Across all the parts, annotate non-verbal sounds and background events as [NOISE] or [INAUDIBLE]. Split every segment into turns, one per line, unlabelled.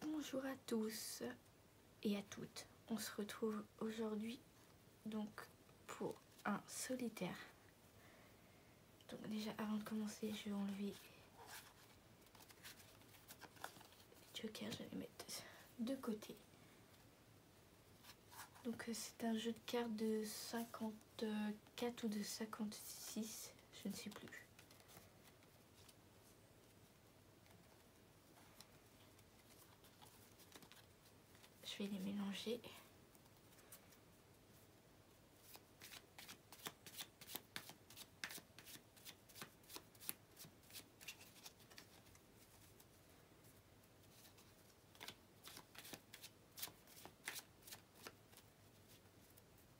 Bonjour à tous et à toutes. On se retrouve aujourd'hui donc pour un solitaire. Donc déjà avant de commencer, je vais enlever les jokers, je vais les mettre de côté. Donc euh, c'est un jeu de cartes de 50 de 4 ou de 56, je ne sais plus. Je vais les mélanger.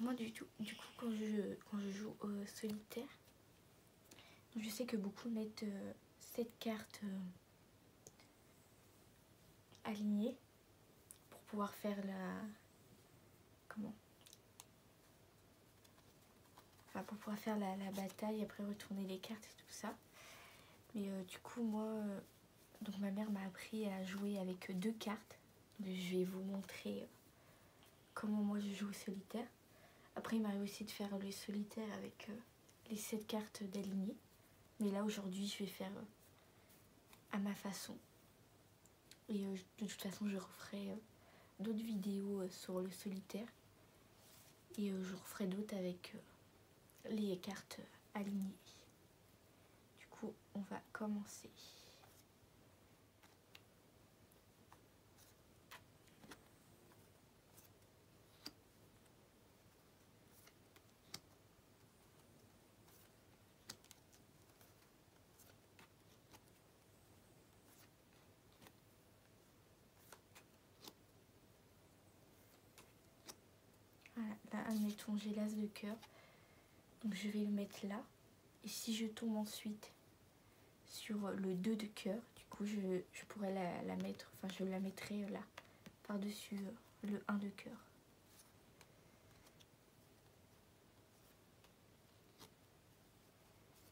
moi du, tout, du coup quand je, quand je joue solitaire, je sais que beaucoup mettent euh, cette carte euh, alignée pour pouvoir faire la, comment Enfin pour pouvoir faire la, bataille, après retourner les cartes et tout ça. Mais euh, du coup, moi, euh, donc ma mère m'a appris à jouer avec deux cartes. je vais vous montrer euh, comment moi je joue au solitaire. Après, il m'a aussi de faire le solitaire avec les sept cartes d'alignée. Mais là, aujourd'hui, je vais faire à ma façon. Et euh, de toute façon, je referai euh, d'autres vidéos euh, sur le solitaire. Et je referai d'autres avec les cartes alignées. Du coup, on va commencer. Voilà, là, admettons, j'ai l'as de cœur. Donc je vais le mettre là. Et si je tombe ensuite sur le 2 de cœur, du coup je, pourrais la, mettre, enfin je la mettrai euh, là, par-dessus euh, le 1 de cœur.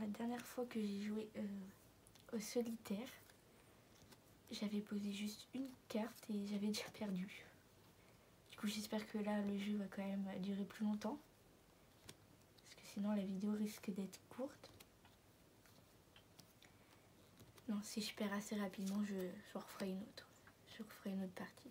la dernière fois que j'ai joué euh, au solitaire, j'avais posé juste une carte et j'avais [LAUGHS] déjà perdu. Du coup j'espère que là le jeu va quand même durer plus longtemps. Parce que sinon la vidéo risque d'être courte. Non, si je perds assez rapidement, je, je referai une autre. Je referai une autre partie.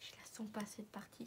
Je la sens pas cette partie.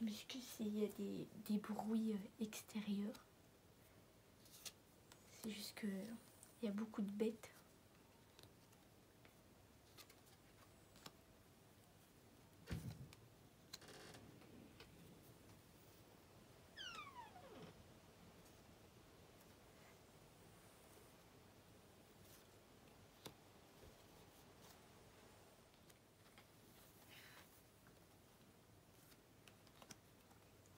Je m'excuse s'il y a des, des bruits euh, extérieurs. C'est juste que il y a beaucoup de bêtes.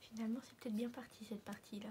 Finalement, c'est peut-être bien parti cette partie-là.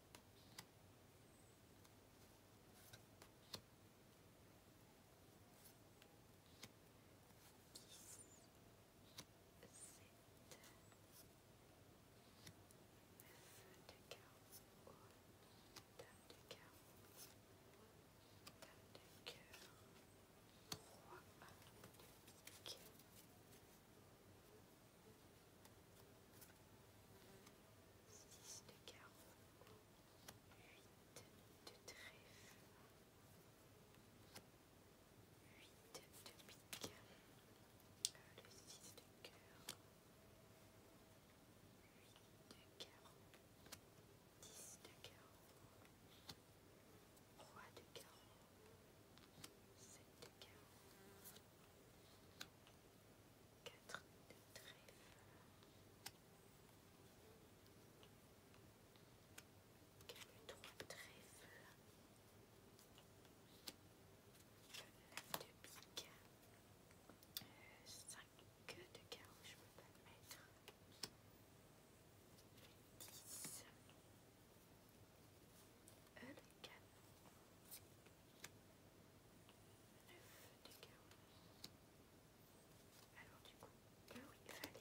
de cœur, 3 de 6 de carreau, 8 de trèfle, 8 de pique, 6 de cœur, 8 de carreau, 10 de carreau, 3 de carreau, 7 de carreau, 4 de trèfle. Quatre, trois trèfles. de pique. 5 de carreau, je ne peux pas le mettre. Alors du coup, il fallait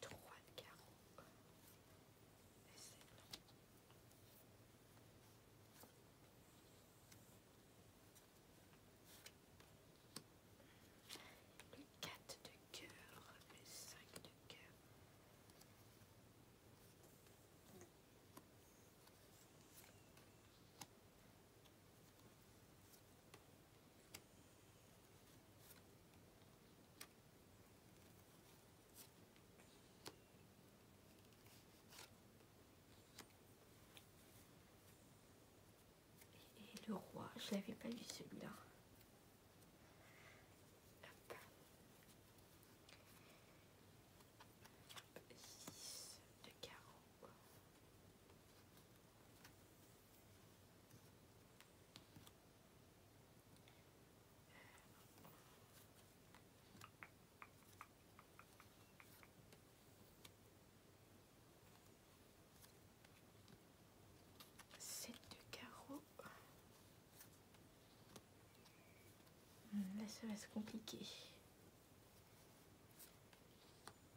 3 de carreau, 1 de cénon. 4 de cœur, 5 de cœur. Et le roi, je n'avais pas vu celui-là. Hop. De carreau. 7 de carreau. Hmm, là, ça va se compliquer.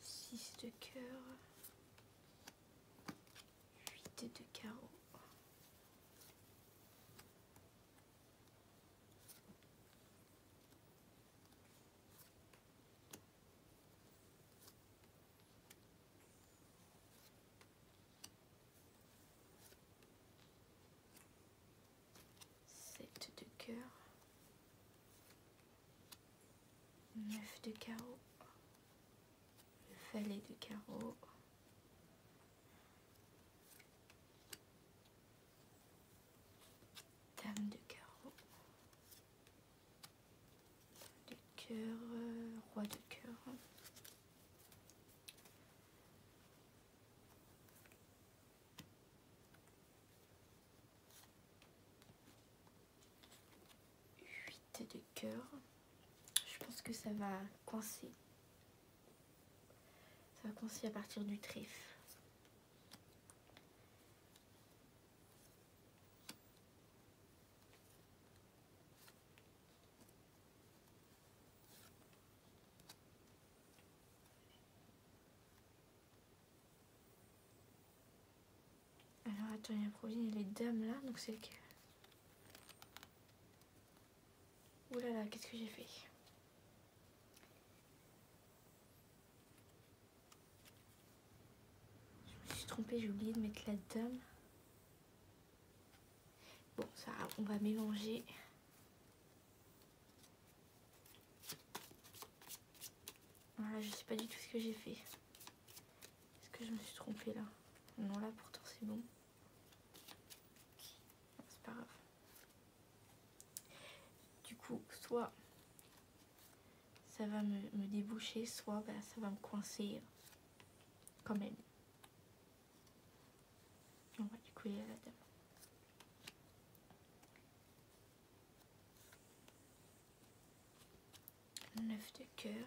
6 de cœur, 8 de carreau. 7 de cœur Neuf de carreau, le valet de carreau, dame de carreau, de cœur, euh, roi de cœur. 8 de cœur. Je pense que ça va coincer. Ça va coincer à partir du trèfle. Alors attends, il y a y et les dames là, donc c'est que. Ouh là là, qu'est-ce que j'ai fait Je me suis trompée, j'ai oublié de mettre la dame. Bon, ça, on va mélanger. Voilà, je sais pas du tout ce que j'ai fait. Est-ce que je me suis trompée là Non, là pourtant c'est bon. C'est pas grave. Du coup, soit ça va me, déboucher, soit bah, ça va me coincer quand même. On va du coup aller à la dame. 9 de cœur.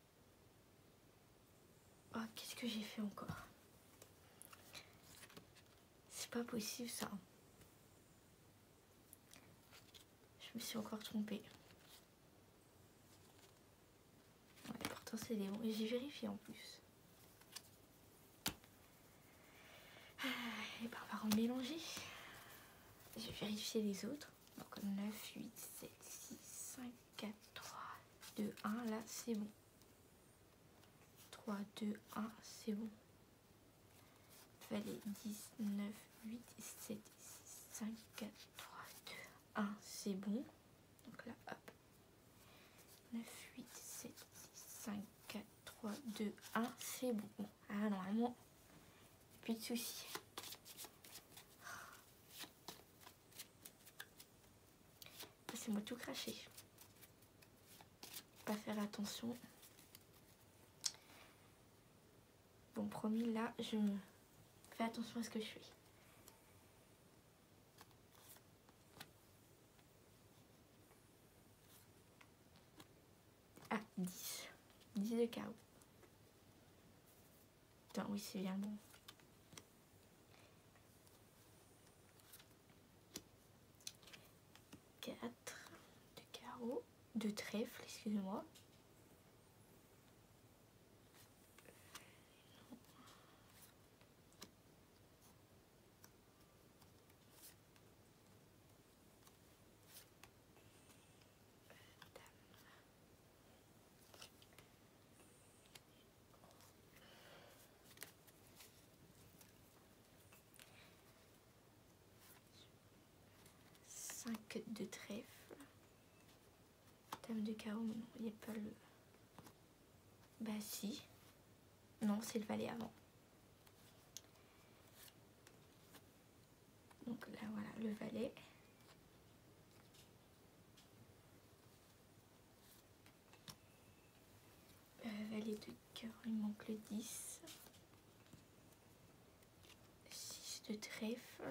Oh, qu'est-ce que j'ai fait encore C'est pas possible ça. Je me suis encore trompée. pourtant c'est des bons. j'ai vérifié en plus. Ah, Et eh ben, on va en mélanger. J'ai vérifié les autres. Donc 9, 8, 7, 6, 5, 4, 3, 2, 1. Là, c'est bon. 3, 2, 1, c'est bon. Il fallait 10, 9, 8, 7, 6, 5, 4, 3, 2, 1, c'est bon. Donc là, hop. 9, 8, 7, 6, 5, 4, 3, 2, 1, c'est bon. Ah, normalement, plus de soucis. Ah, c'est moi tout craché. Pas faire attention. Bon, promis, là, je fais attention à ce que je fais. Ah, 10. 10 de carreau oui, c'est bien bon. Quatre de carreaux, de trèfle, excusez-moi. 5 de trèfle. Dame de carreau, non, il n'y a pas le... Bah si. Non, c'est le valet avant. Donc là voilà le valet. valet de cœur, il manque le 10. 6 de trèfle.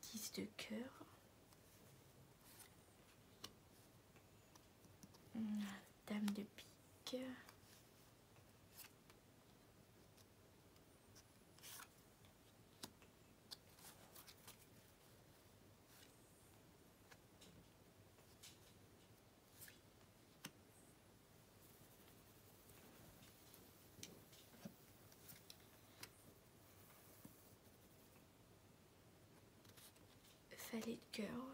10 de cœur dame de pique. Valet de cœur.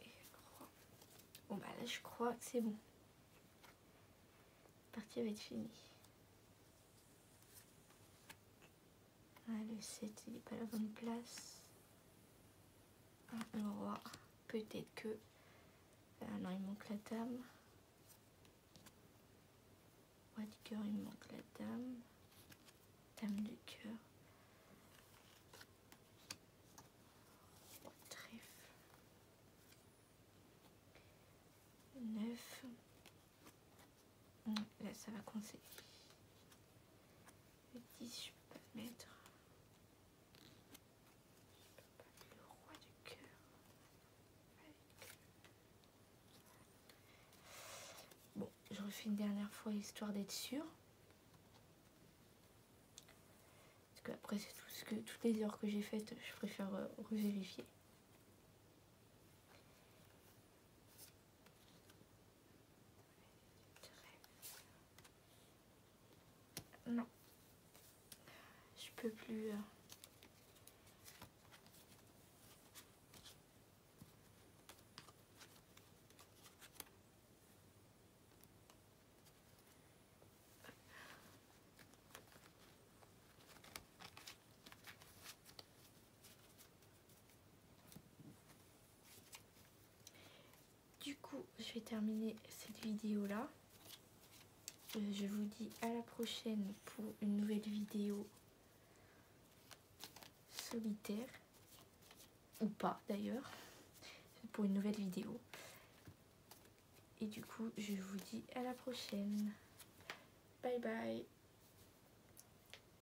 Et je crois... Bon bah là je crois que c'est bon. La partie va être finie. Allez, ah, le 7, il n'est pas la bonne place. le roi, peut-être que... Ah non, il manque la dame. Roi du cœur, il manque la dame. Dame du cœur. Trèfle. 9. Là, ça va coincer. Le 10, je peux pas mettre. Je peux pas mettre le roi du cœur. Bon, je refais une dernière fois histoire d'être sûre. Parce qu'après, après, c'est tout ce que toutes les heures que j'ai faites, je préfère euh, revérifier. Non. Je peux plus... Euh. Du coup, je vais terminer cette vidéo là. Euh, je vous dis à la prochaine pour une nouvelle vidéo solitaire. Ou pas d'ailleurs. Pour une nouvelle vidéo. Et du coup, je vous dis à la prochaine. Bye bye.